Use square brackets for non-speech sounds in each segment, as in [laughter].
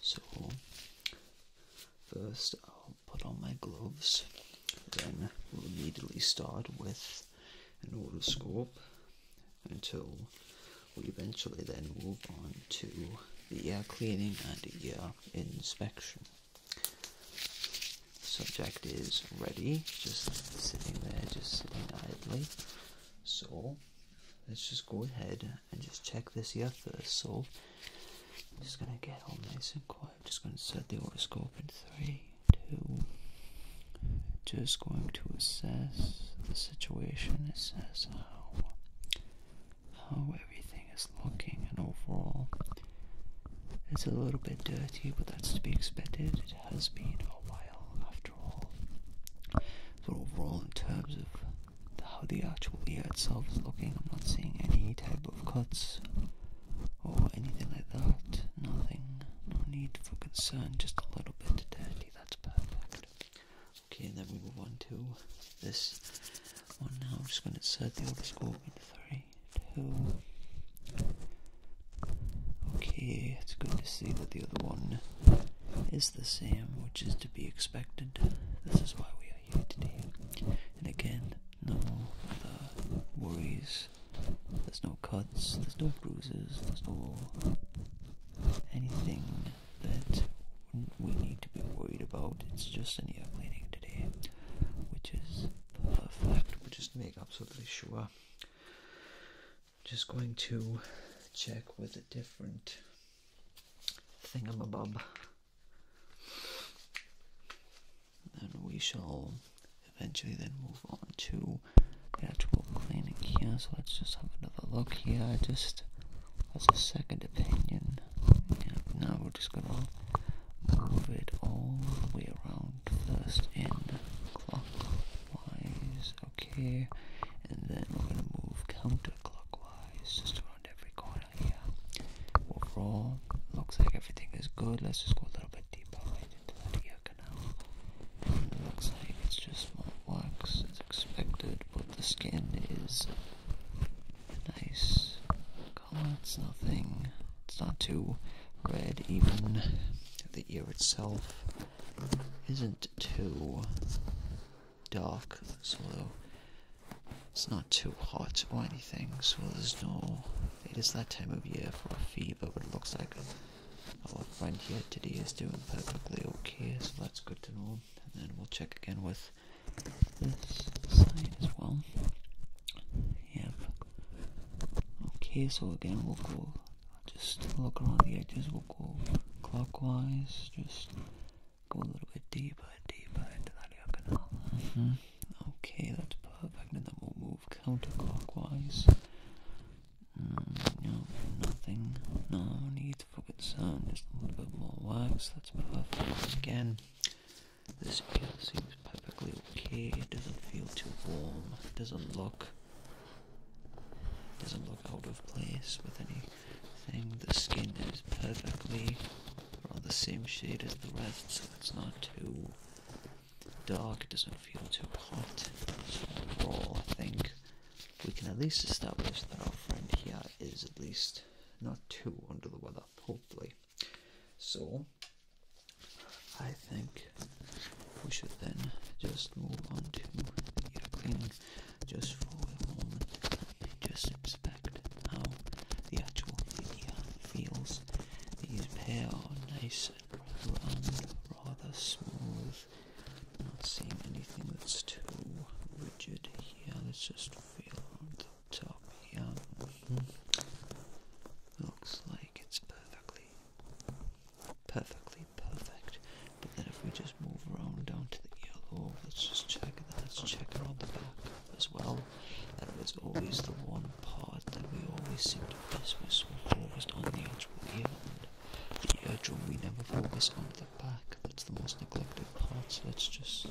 So, first I'll put on my gloves, then we'll immediately start with an otoscope until we eventually then move on to the air cleaning and air inspection. Subject is ready, just sitting there, just sitting idly. So let's just go ahead and just check this here first. So I'm just gonna get all nice and quiet. Just gonna set the horoscope in three, two. Just going to assess the situation. Assess how how everything is looking, and overall, it's a little bit dirty, but that's to be expected. It has been a while after after overall, in terms of how the actual ear itself is looking, I'm not seeing any type of cuts or anything like that. Nothing. No need for concern. Just a little bit dirty. That's perfect. Okay, and then we move on to this one now. I'm just going to insert the score in three, two. Okay, it's good to see that the other one is the same, which is to be expected. This is why we are here today. And again, no other worries. There's no cuts, there's no bruises, there's no anything that we need to be worried about. It's just an airplaning today, which is perfect. we just make absolutely sure just going to check with a different thingamabob. And we shall eventually then move on to the actual cleaning here. So let's just have another look here. Just as a second opinion. Yeah, now we're just gonna move it all the way around first in clockwise okay and then we're going to move counterclockwise just around every corner here overall looks like everything is good let's just go a little bit deeper into that ear canal it looks like it's just more wax as expected but the skin is nice it's nothing it's not too red even the ear itself isn't too dark, so it's not too hot or anything, so there's no... It is that time of year for a fever, but it looks like our friend here today is doing perfectly okay, so that's good to know. And then we'll check again with this side as well. Yep. Okay, so again we'll go just look around the edges, we'll go clockwise, just go a little bit deeper, deeper into that ear canal. Mm-hmm. Okay, that's perfect, and then we'll move counterclockwise. Mm, no, nothing, no need for concern, just a little bit more wax, that's perfect. Again, this ear seems perfectly okay, it doesn't feel too warm, it doesn't look doesn't look out of place with anything. The skin is perfectly around the same shade as the rest, so it's not too dark. It doesn't feel too hot. So overall, I think we can at least establish that our friend here is at least not too under the weather, hopefully. So I think we should then just move on to your airplane just for a moment just inspect how the actual media feels. These pair are nice and round, rather smooth. I'm not seeing anything that's too rigid here. Let's just feel the top here. Mm-hmm. Looks like it's perfectly perfectly perfect. But then if we just move around down to the yellow, let's just check that. Let's check it on the back as well. That was always the one part that we always seem to miss. We're so focused on the actual ear and the eardrum. We never focus on the back. That's the most neglected part. So let's just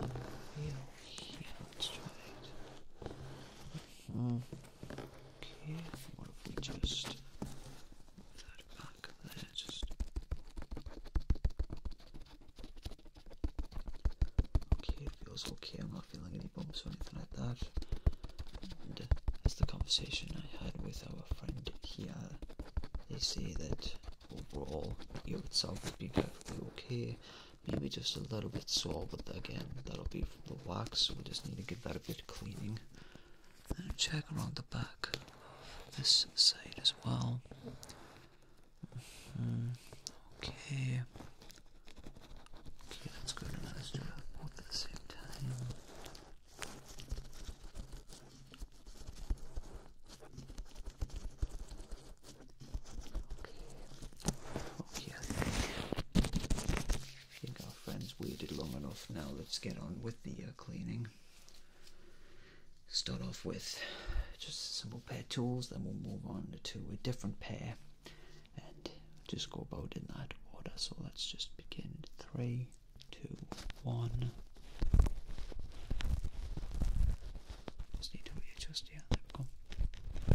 have a feel here. Let's try it. Mm -hmm. Okay, what if we just move that back there? Just okay, feels okay. I'm not feeling any bumps or anything like that. Uh, that's the conversation I had with our friend here. They say that overall, your itself would be perfectly okay. Maybe just a little bit sore, but again, that'll be the wax, so we just need to give that a bit of cleaning. And check around the back of this side as well. Mm-hmm. Okay. Okay, that's good. Now let's do both at the same time. Okay. Okay. I think our friends waited long enough. Now let's get on with the uh, cleaning. Start off with just a simple pair of tools, then we'll move on to a different pair and just go about in that order. So let's just begin. Three, two, one. Just need to readjust here. There we go.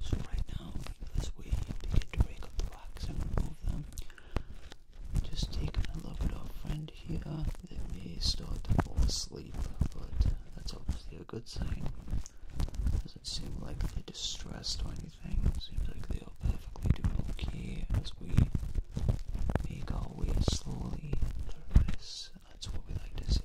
So right now, as we begin to break up the wax and remove them, just taking a little bit of friend here that may start to fall asleep, but uh, that's obviously a good sign. Doesn't seem like they're distressed or anything. Seems like they are perfectly doing okay as we make our way slowly through this. That's what we like to see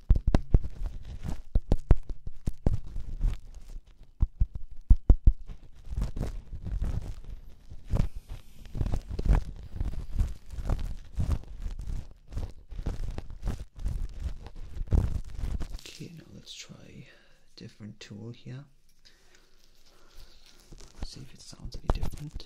Okay, now let's try a different tool here. See if it sounds any different.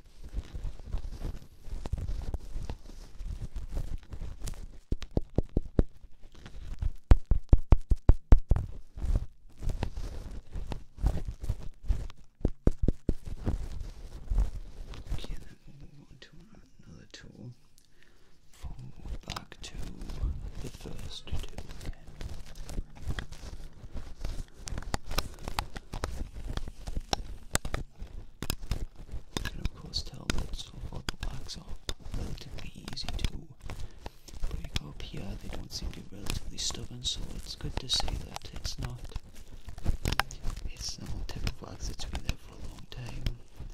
Okay, then we'll move on to another tool. We'll back to the first tool again. Okay. You can of course tell that sulfur blocks are relatively easy to break up here. They don't seem to be relatively stubborn, so it's good to see that it's not it's the whole type of wax that's been there for a long time.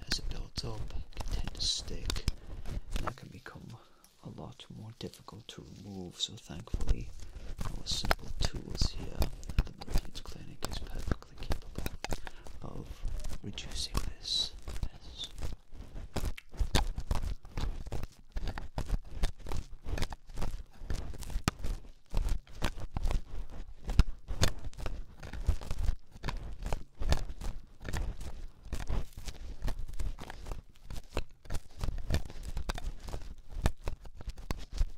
As it builds up, it can tend to stick and that can become a lot more difficult to remove. So thank thankfully, all simple tools here the Marines Clinic is perfectly capable of reducing this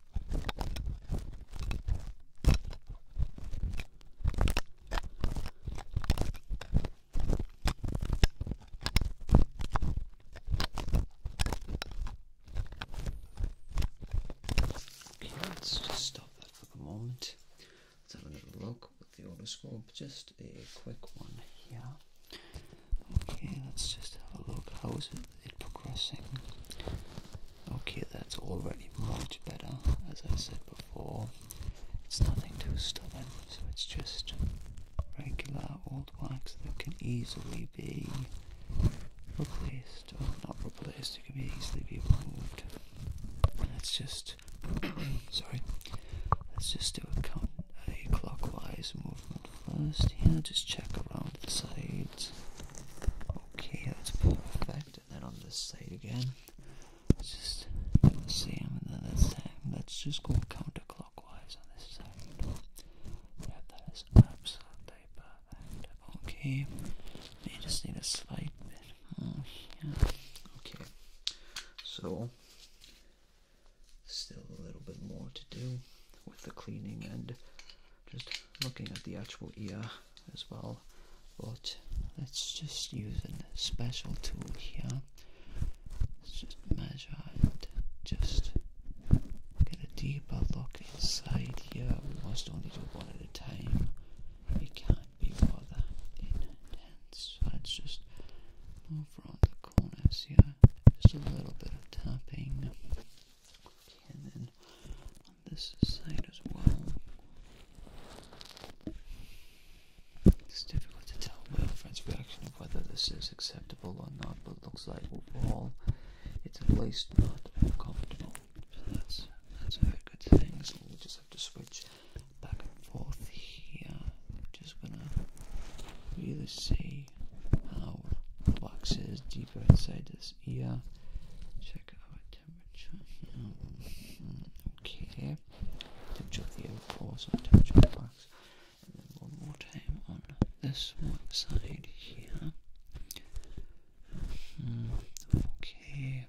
Okay, let's just stop that for the moment. Let's have a little look with the otoscope, just a quick one here. Okay, let's just have a look. How is it progressing? Okay, that's already much better. As I said before, it's nothing too stubborn, so it's just regular old wax that can easily be replaced, or not replaced, it can be easily be removed. Let's just, [coughs] sorry, let's just do a, count, clockwise movement first. Yeah, just check around the sides. Okay, that's perfect do that on this side again. Let's just see let's, let's just go counterclockwise on this side. Yeah, that is absolutely perfect. Okay. You just need to swipe it more here. Okay. So still a little bit more to do with the cleaning and just looking at the actual ear as well but let's just use a special tool here let's just measure and just get a deeper look inside here we must only do one at a time it can't be rather intense so let's just move around the corners here just a little bit of tapping and then this side as well. It's difficult to tell my friend's reaction of whether this is acceptable or not, but it looks like overall it's at least not uncomfortable. So that's that's a very good thing. So we just have to switch back and forth here. Just gonna really see how relaxes deeper inside this ear. Check our temperature. Okay, temperature of the outpour, the wax. And then one more time on this one side here. Hmm, okay.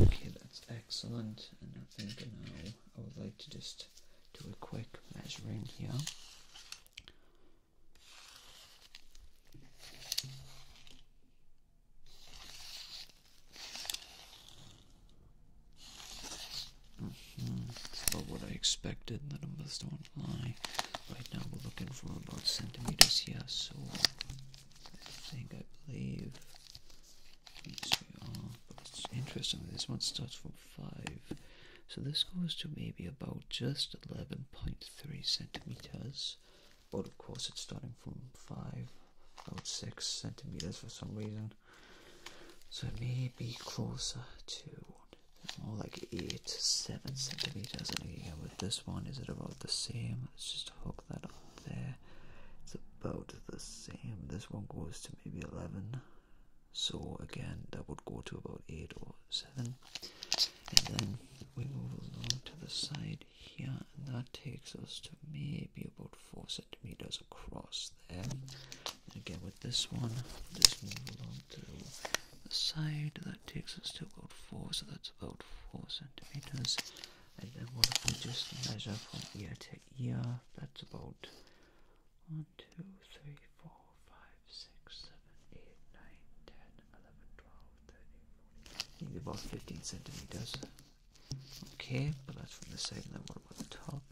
Okay, that's excellent. And I think now I would like to just do a quick measuring here. Mm -hmm. It's about what I expected. The numbers don't lie. Right now we're looking for about centimeters here, so I think I believe interesting. This one starts from five, so this goes to maybe about just 11.3 centimeters, but of course it's starting from 5 about 6 centimeters for some reason. So it may be closer to more like 8 7 centimeters. And here with this one, is it about the same? Let's just hook that up there. It's about the same. This one goes to maybe 11. So again, that would go to about 8 or 7 and then we move along to the side here and that takes us to maybe about four centimeters across there again with this one just move along to the side that takes us to about four so that's about four centimeters and then what if we just measure from ear to ear that's about one two three four 4, think they 15 centimeters. Okay, but that's from the side, and then what the top?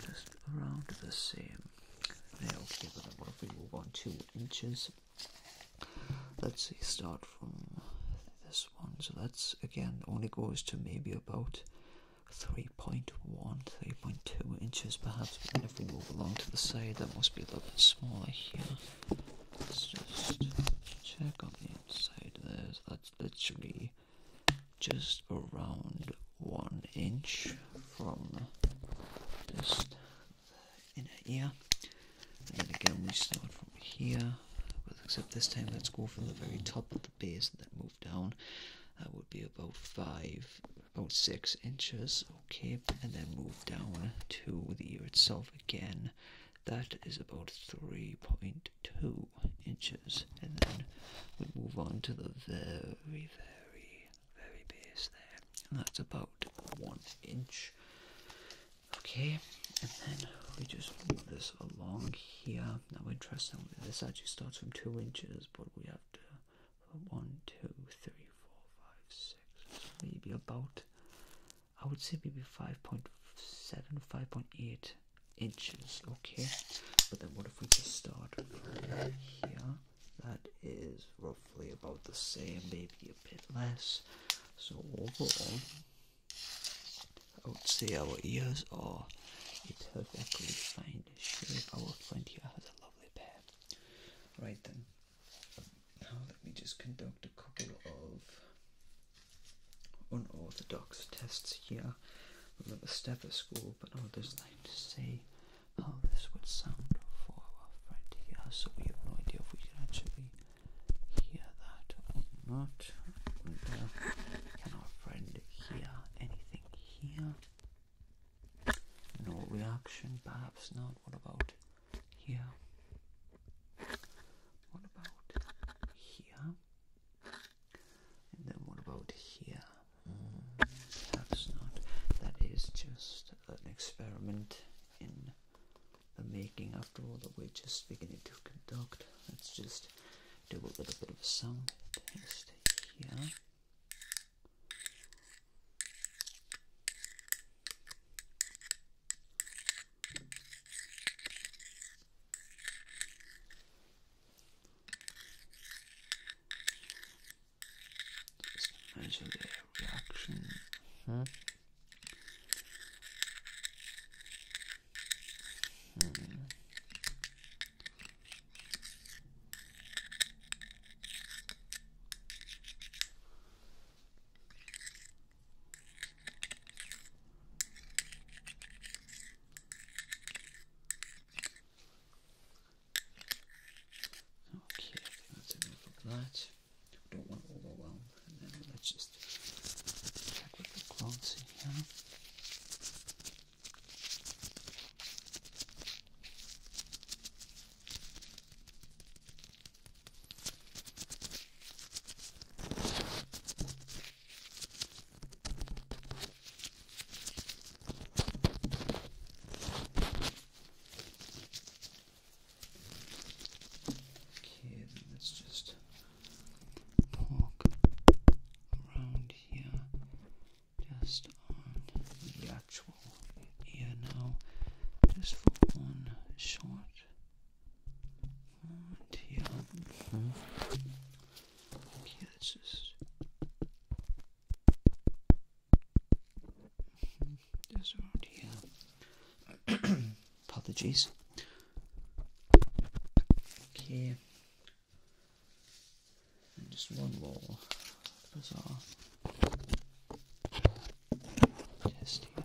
just around the same. okay, but then what if we move on 2 inches? Let's see, start from this one. So that's again only goes to maybe about 3.1, 3.2 inches perhaps kind of move along to the side. That must be a little bit smaller here. Let's just check on the inside there. that's literally just around one inch from just the inner ear. And then again, we start from here. except this time, let's go from the very top of the base and then move down. That would be about five, about six inches Okay, and then move down to the ear itself again. That is about 3.2 inches. And then we move on to the very, very, very base there. And that's about one inch. Okay, and then we just move this along here. Now, interestingly, this actually starts from two inches, but we have to one, two, three, four, five, six, maybe about, I would say maybe 5.7, 5.8 inches, okay? But then what if we just start here? That is roughly about the same, maybe a bit less. So overall, I would say our ears are perfectly fine shape. Our friend here has a lovely pair Right then, now let me just conduct a couple of unorthodox tests here with a stethoscope, but I'll just like to see how this would sound for our friend here. So we have no idea if we can actually hear that or not. can our friend hear anything here? No reaction, perhaps not. What about here? What about here? And then what about here? Hmm, perhaps not. That is just an experiment in the making after all that we're just beginning to conduct. Let's just do a little bit of a sound here. Just measure their reaction. Huh? Hmm. hmm. Okay, that's enough of that. Don't want to overwhelm. And then let's just check with the clouds here. Okay, then let's just poke around here just on the actual ear now, just for one short. here. Mm-hmm. Okay, let's just. Mm here. [coughs] Apologies. Okay. And just one more bizarre test here.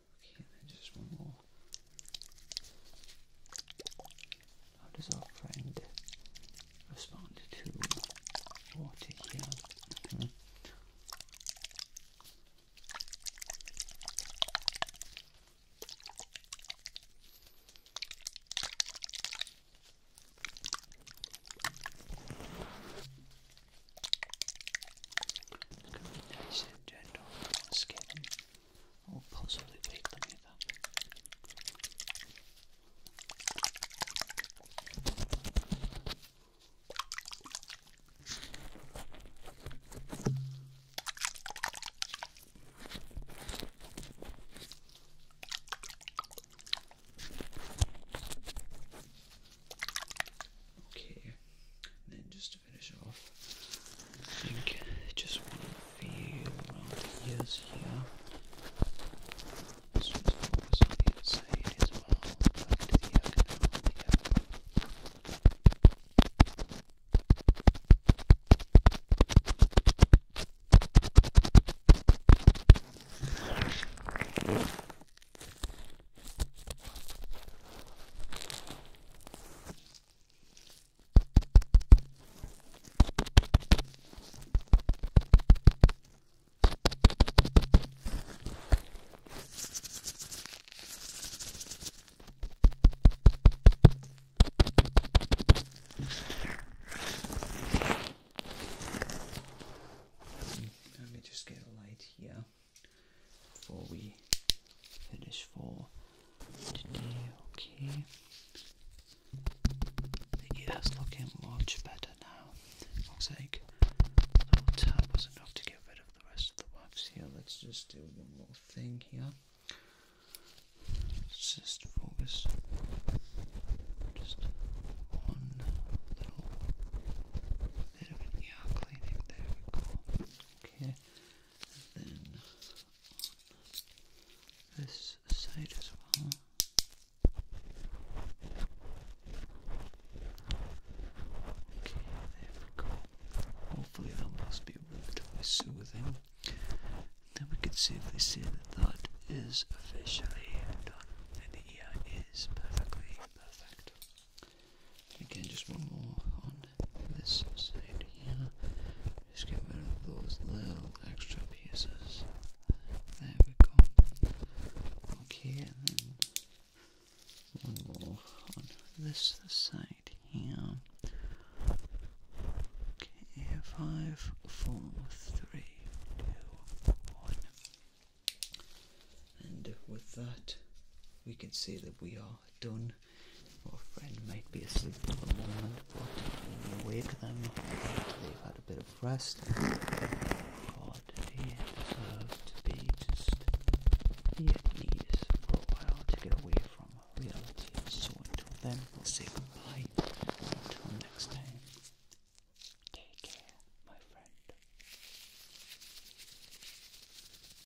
Okay, and just one more. How does our friend respond to water here? Mm and gentle, skin or possibly bake them either. Okay, then just just to finish off, I think just one of the round ears here. This one's focused on the inside as well, back to the ear canal here. Let me just get a light here before we finish for today, okay? The ear's looking much better now. Looks like the little was enough to get rid of the rest of the wax here. Let's just do one more thing here. just focus just on little bit of cleaning. There Okay then this side as well. Okay, there we go. Hopefully that must be relatively soothing. Then we can safely say that that is officially done and the ear is perfectly perfect. Again, just one more on this side here. Just get rid of those little extra pieces. There we go. Okay, and then one more on this side here. Okay, five, four, three, two, one. And with that, we can see that we are done. Your friend might be asleep for a moment, but you wake them. They've had a bit of rest. God, they to be just here for a while to get away from reality. So until then, say goodbye. Until next time, take care, my friend.